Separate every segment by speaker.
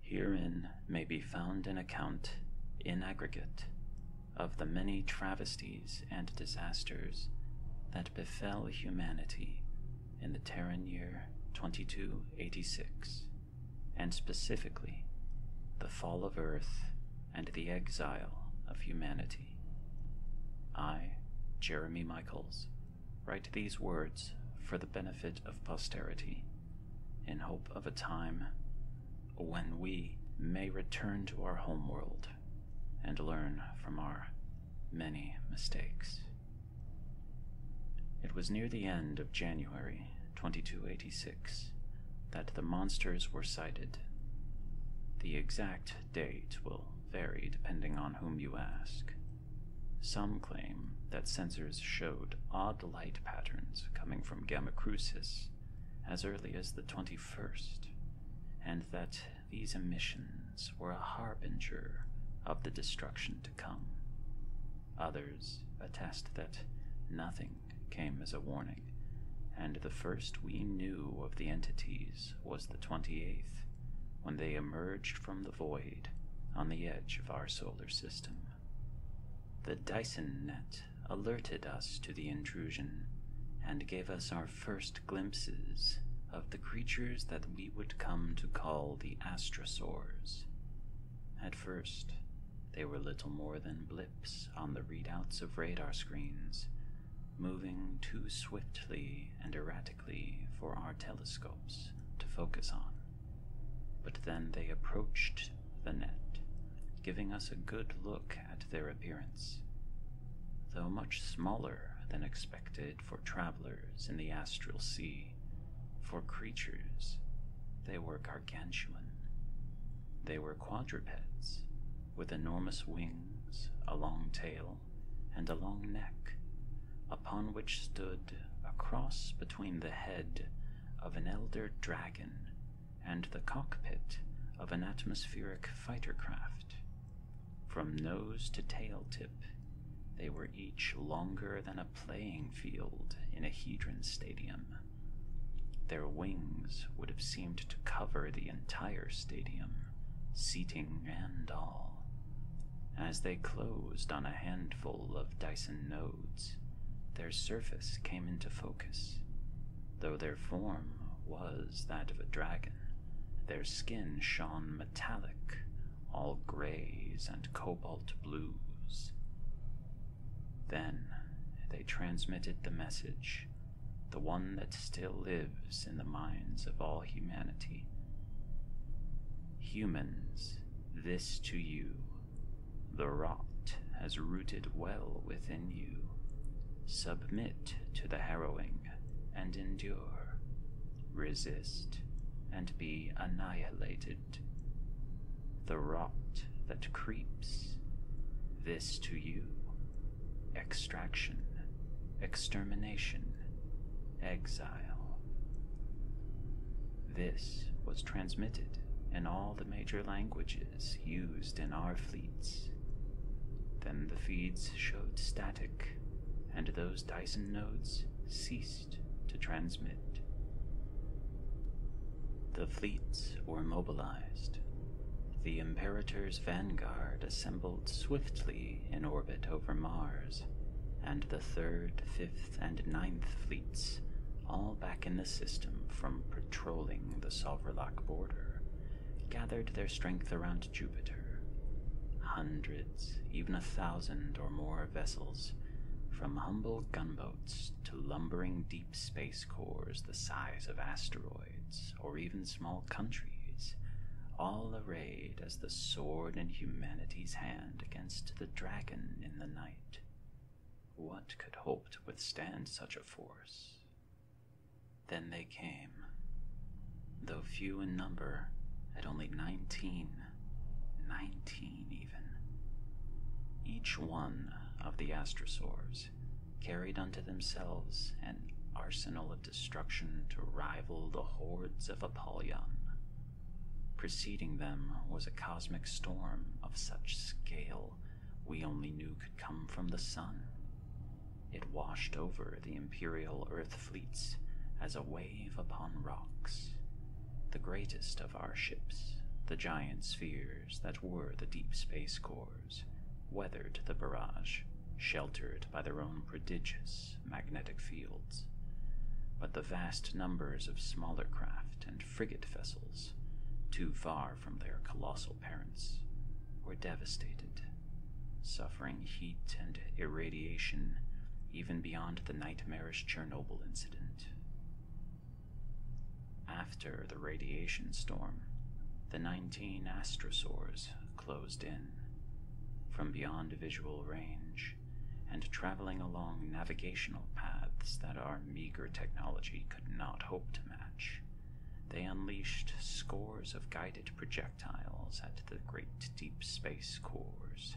Speaker 1: Herein may be found an account, in aggregate, of the many travesties and disasters that befell humanity in the Terran year 2286, and specifically the fall of Earth and the exile of humanity. I, Jeremy Michaels, Write these words for the benefit of posterity, in hope of a time when we may return to our home world and learn from our many mistakes. It was near the end of January 2286 that the monsters were sighted. The exact date will vary depending on whom you ask. Some claim that sensors showed odd light patterns coming from Gamma Crucis as early as the 21st, and that these emissions were a harbinger of the destruction to come. Others attest that nothing came as a warning, and the first we knew of the entities was the 28th, when they emerged from the void on the edge of our solar system. The Dyson net alerted us to the intrusion and gave us our first glimpses of the creatures that we would come to call the astrosaurs. At first, they were little more than blips on the readouts of radar screens, moving too swiftly and erratically for our telescopes to focus on. But then they approached the net, giving us a good look at their appearance. Though much smaller than expected for travelers in the astral sea, for creatures, they were gargantuan. They were quadrupeds, with enormous wings, a long tail, and a long neck, upon which stood a cross between the head of an elder dragon and the cockpit of an atmospheric fighter craft. From nose to tail tip, they were each longer than a playing field in a Hedron stadium. Their wings would have seemed to cover the entire stadium, seating and all. As they closed on a handful of Dyson nodes, their surface came into focus. Though their form was that of a dragon, their skin shone metallic, all grays and cobalt blues. Then they transmitted the message, the one that still lives in the minds of all humanity. Humans, this to you. The rot has rooted well within you. Submit to the harrowing and endure. Resist and be annihilated. The rot that creeps, this to you. Extraction, extermination, exile. This was transmitted in all the major languages used in our fleets. Then the feeds showed static, and those Dyson nodes ceased to transmit. The fleets were mobilized. The Imperator's vanguard assembled swiftly in orbit over Mars and the 3rd, 5th, and ninth Fleets, all back in the system from patrolling the Solverlock border, gathered their strength around Jupiter. Hundreds, even a thousand or more vessels, from humble gunboats to lumbering deep space cores the size of asteroids or even small countries, all arrayed as the sword in humanity's hand against the dragon in the night. What could hope to withstand such a force? Then they came, though few in number, at only nineteen, nineteen even. Each one of the astrosaurs carried unto themselves an arsenal of destruction to rival the hordes of Apollyon. Preceding them was a cosmic storm of such scale we only knew could come from the sun. It washed over the Imperial Earth fleets as a wave upon rocks. The greatest of our ships, the giant spheres that were the deep space cores, weathered the barrage, sheltered by their own prodigious magnetic fields, but the vast numbers of smaller craft and frigate vessels, too far from their colossal parents, were devastated, suffering heat and irradiation even beyond the nightmarish Chernobyl incident. After the radiation storm, the 19 astrosaurs closed in. From beyond visual range, and traveling along navigational paths that our meager technology could not hope to match, they unleashed scores of guided projectiles at the great deep space cores.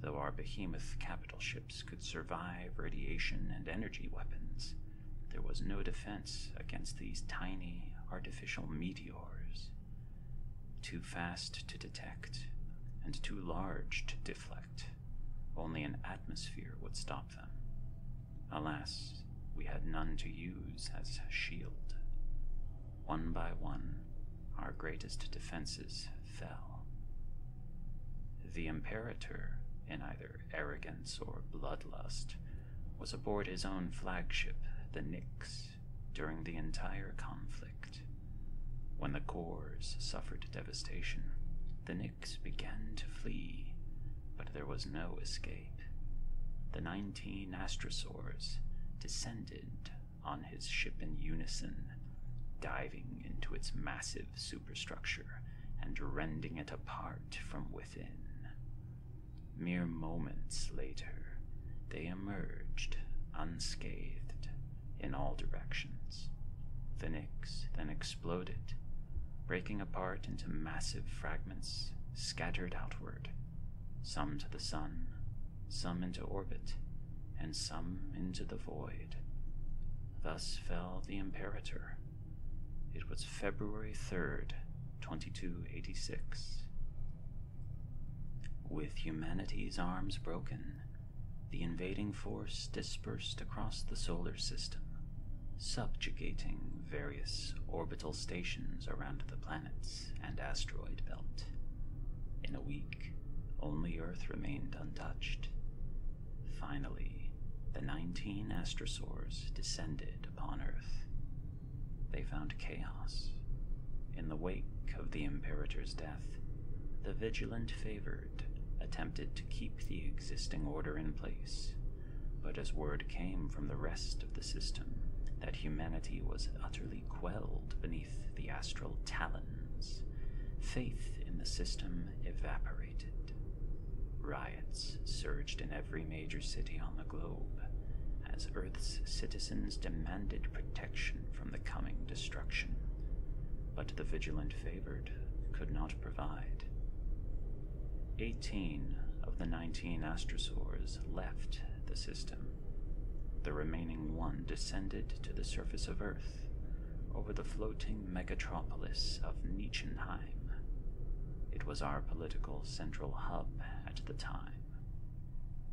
Speaker 1: Though our behemoth capital ships could survive radiation and energy weapons, there was no defense against these tiny artificial meteors too fast to detect and too large to deflect. Only an atmosphere would stop them. Alas, we had none to use as shield. One by one, our greatest defenses fell. The Imperator, in either arrogance or bloodlust, was aboard his own flagship, the Nix, during the entire conflict. When the Corps suffered devastation, the Nix began to flee, but there was no escape. The 19 astrosaurs descended on his ship in unison, diving into its massive superstructure and rending it apart from within. Mere moments later, they emerged unscathed in all directions. The Nix then exploded, breaking apart into massive fragments scattered outward, some to the sun, some into orbit, and some into the void. Thus fell the Imperator. It was February 3, 2286. With humanity's arms broken, the invading force dispersed across the solar system, subjugating various orbital stations around the planets and asteroid belt. In a week, only Earth remained untouched. Finally, the 19 astrosaurs descended upon Earth, they found chaos. In the wake of the Imperator's death, the vigilant favored attempted to keep the existing order in place, but as word came from the rest of the system that humanity was utterly quelled beneath the astral talons, faith in the system evaporated. Riots surged in every every major city on the globe as Earth's citizens demanded protection from the coming destruction. But the vigilant favored could not provide. Eighteen of the 19 astrosaurs left the system. The remaining one descended to the surface of Earth over the floating megatropolis of Niechenheim. It was our political central hub at the time.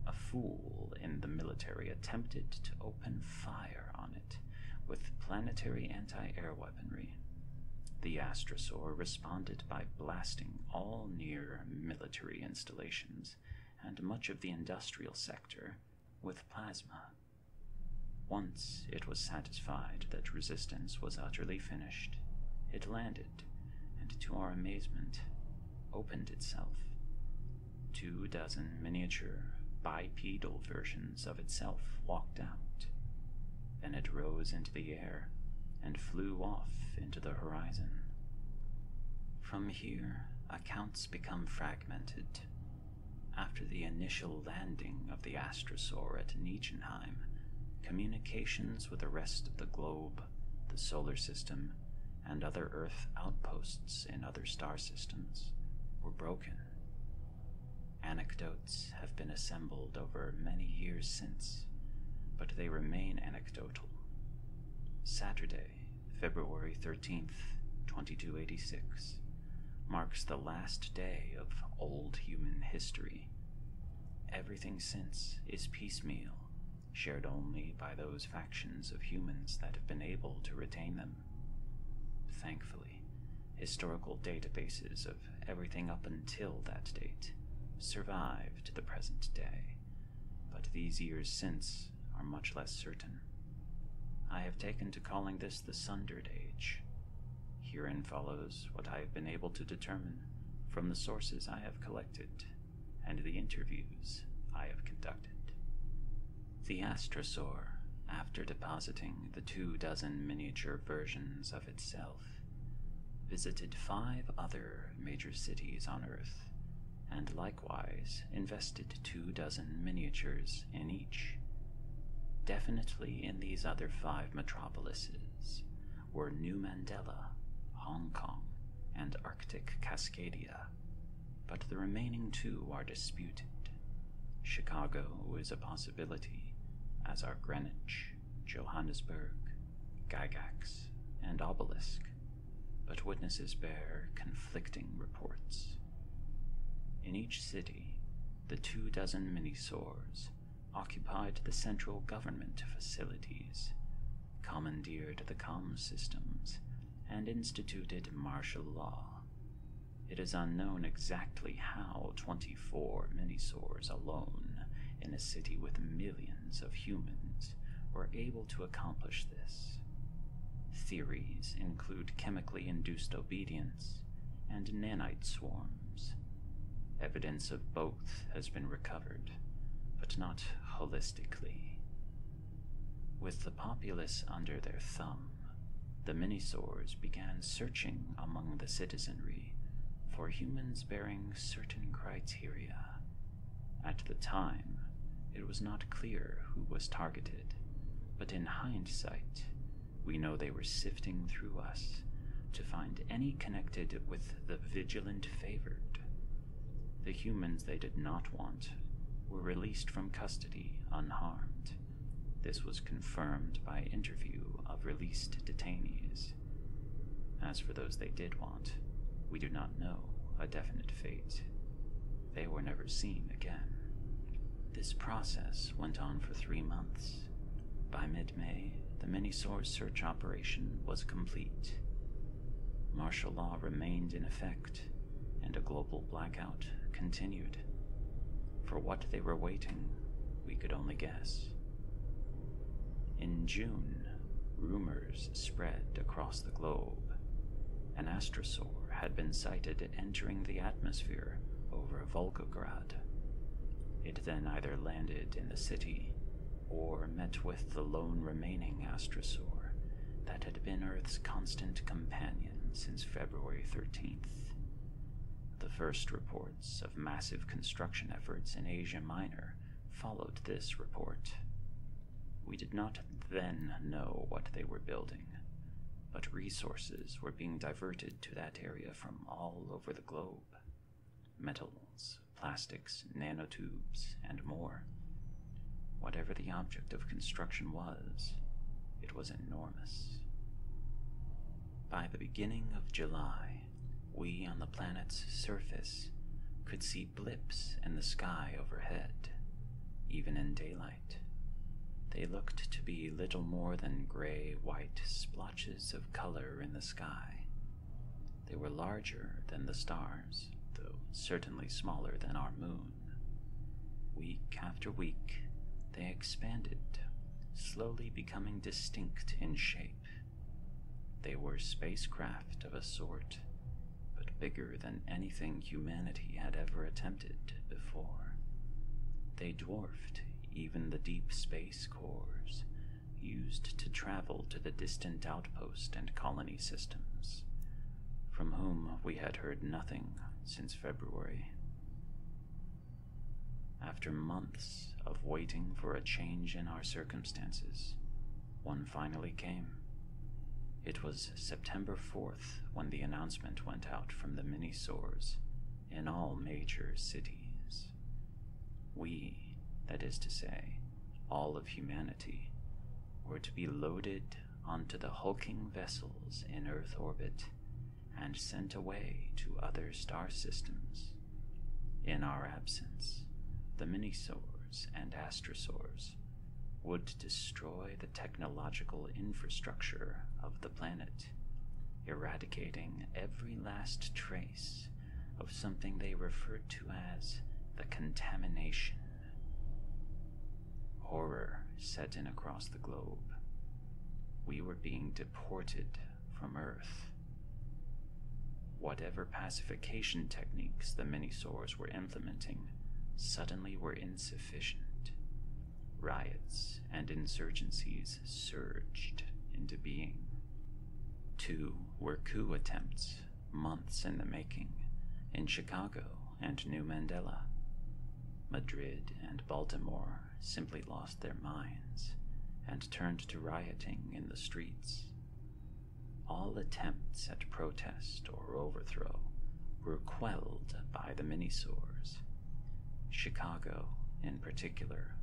Speaker 1: A fool in the military attempted to open fire on it with planetary anti air weaponry. The Astrosaur responded by blasting all near military installations and much of the industrial sector with plasma. Once it was satisfied that resistance was utterly finished it landed, and to our amazement, opened itself. Two dozen miniature, bipedal versions of itself walked out. Then it rose into the air and flew off into the horizon. From here, accounts become fragmented. After the initial landing of the astrosaur at Nietzsche communications with the rest of the globe, the solar system, and other Earth outposts in other star systems were broken. Anecdotes have been assembled over many years since, but they remain anecdotal. Saturday, February 13th, 2286, marks the last day of old human history. Everything since is piecemeal, shared only by those factions of humans that have been able to retain them. Thankfully, historical databases of everything up until that date survive to the present day, but these years since are much less certain. I have taken to calling this the Sundered Age, Herein follows what I have been able to determine from the sources I have collected and the interviews I have conducted. The astrosaur, after depositing the two dozen miniature versions of itself, visited five other major cities on Earth and likewise invested two dozen miniatures in each. Definitely in these other five metropolises were New Mandela, Hong Kong, and Arctic Cascadia, but the remaining two are disputed. Chicago is a possibility, as are Greenwich, Johannesburg, Gygax, and Obelisk, but witnesses bear conflicting reports. In each city, the two dozen mini occupied the central government facilities, commandeered the comm systems, and instituted martial law. It is unknown exactly how 24 minisaurs alone in a city with millions of humans were able to accomplish this. Theories include chemically induced obedience and nanite swarms. Evidence of both has been recovered, but not holistically. With the populace under their thumb, the Minisaurs began searching among the citizenry for humans bearing certain criteria. At the time, it was not clear who was targeted, but in hindsight, we know they were sifting through us to find any connected with the vigilant favored. The humans they did not want were released from custody unharmed. This was confirmed by interview of released detainees. As for those they did want, we do not know a definite fate. They were never seen again. This process went on for three months by mid-May, the mini-source search operation was complete. Martial law remained in effect, and a global blackout continued. For what they were waiting, we could only guess. In June, rumors spread across the globe. An astrosaur had been sighted entering the atmosphere over Volgograd. It then either landed in the city or met with the lone remaining astrosaur that had been Earth's constant companion since February 13th. The first reports of massive construction efforts in Asia Minor followed this report. We did not then know what they were building, but resources were being diverted to that area from all over the globe metals, plastics, nanotubes, and more. Whatever the object of construction was, it was enormous. By the beginning of July, we on the planet's surface could see blips in the sky overhead, even in daylight. They looked to be little more than gray white splotches of color in the sky. They were larger than the stars, though certainly smaller than our moon. Week after week, they expanded, slowly becoming distinct in shape. They were spacecraft of a sort, but bigger than anything humanity had ever attempted before. They dwarfed even the deep space cores used to travel to the distant outpost and colony systems, from whom we had heard nothing since February. After months of waiting for a change in our circumstances, one finally came. It was September fourth when the announcement went out from the Minisores in all major cities. We, that is to say, all of humanity, were to be loaded onto the hulking vessels in Earth orbit and sent away to other star systems. In our absence, the Minisores and Astrosaurs would destroy the technological infrastructure of the planet, eradicating every last trace of something they referred to as the contamination. Horror set in across the globe. We were being deported from Earth. Whatever pacification techniques the Minisaurs were implementing suddenly were insufficient Riots and insurgencies surged into being. Two were coup attempts, months in the making, in Chicago and New Mandela. Madrid and Baltimore simply lost their minds and turned to rioting in the streets. All attempts at protest or overthrow were quelled by the Minisours. Chicago, in particular,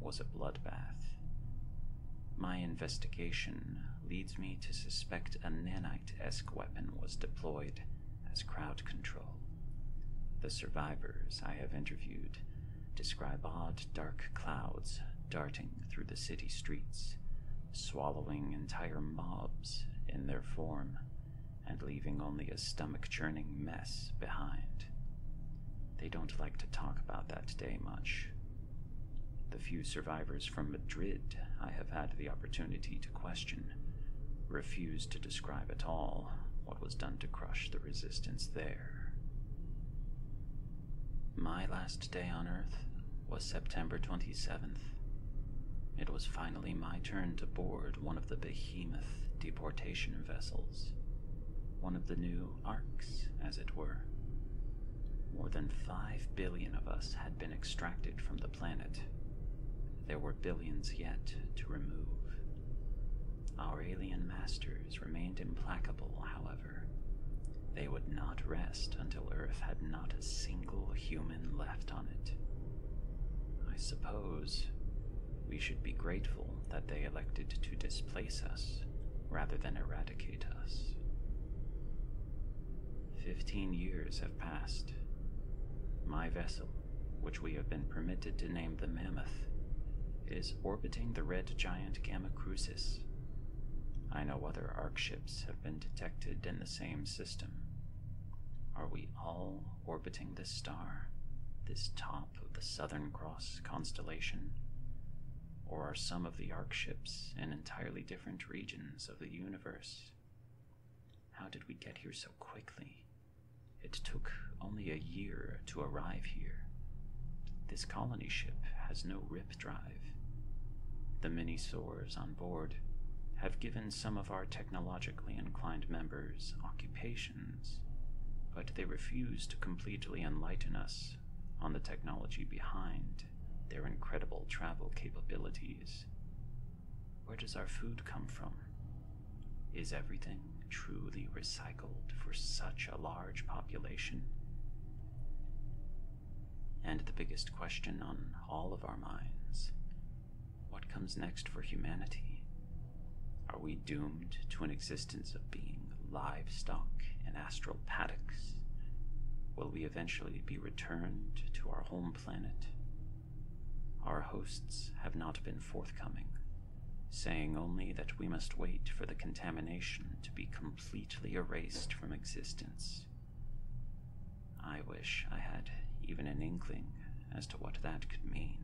Speaker 1: was a bloodbath. My investigation leads me to suspect a nanite esque weapon was deployed as crowd control. The survivors I have interviewed describe odd dark clouds darting through the city streets, swallowing entire mobs in their form, and leaving only a stomach churning mess behind. They don't like to talk about that day much. The few survivors from Madrid I have had the opportunity to question refuse to describe at all what was done to crush the resistance there. My last day on Earth was September 27th. It was finally my turn to board one of the behemoth deportation vessels, one of the new arcs, as it were. More than five billion of us had been extracted from the planet. There were billions yet to remove. Our alien masters remained implacable, however. They would not rest until Earth had not a single human left on it. I suppose we should be grateful that they elected to displace us rather than eradicate us. Fifteen years have passed. My vessel, which we have been permitted to name the Mammoth, is orbiting the red giant Gamma Crucis. I know other Ark ships have been detected in the same system, are we all orbiting this star, this top of the Southern Cross constellation? Or are some of the ark ships in entirely different regions of the universe? How did we get here so quickly? It took only a year to arrive here. This colony ship has no rip drive. The many sores on board have given some of our technologically inclined members occupations, but they refuse to completely enlighten us on the technology behind their incredible travel capabilities. Where does our food come from? Is everything truly recycled for such a large population? And the biggest question on all of our minds what comes next for humanity? Are we doomed to an existence of being livestock in astral paddocks? Will we eventually be returned to our home planet? Our hosts have not been forthcoming, saying only that we must wait for the contamination to be completely erased from existence I wish I had even an inkling as to what that could mean.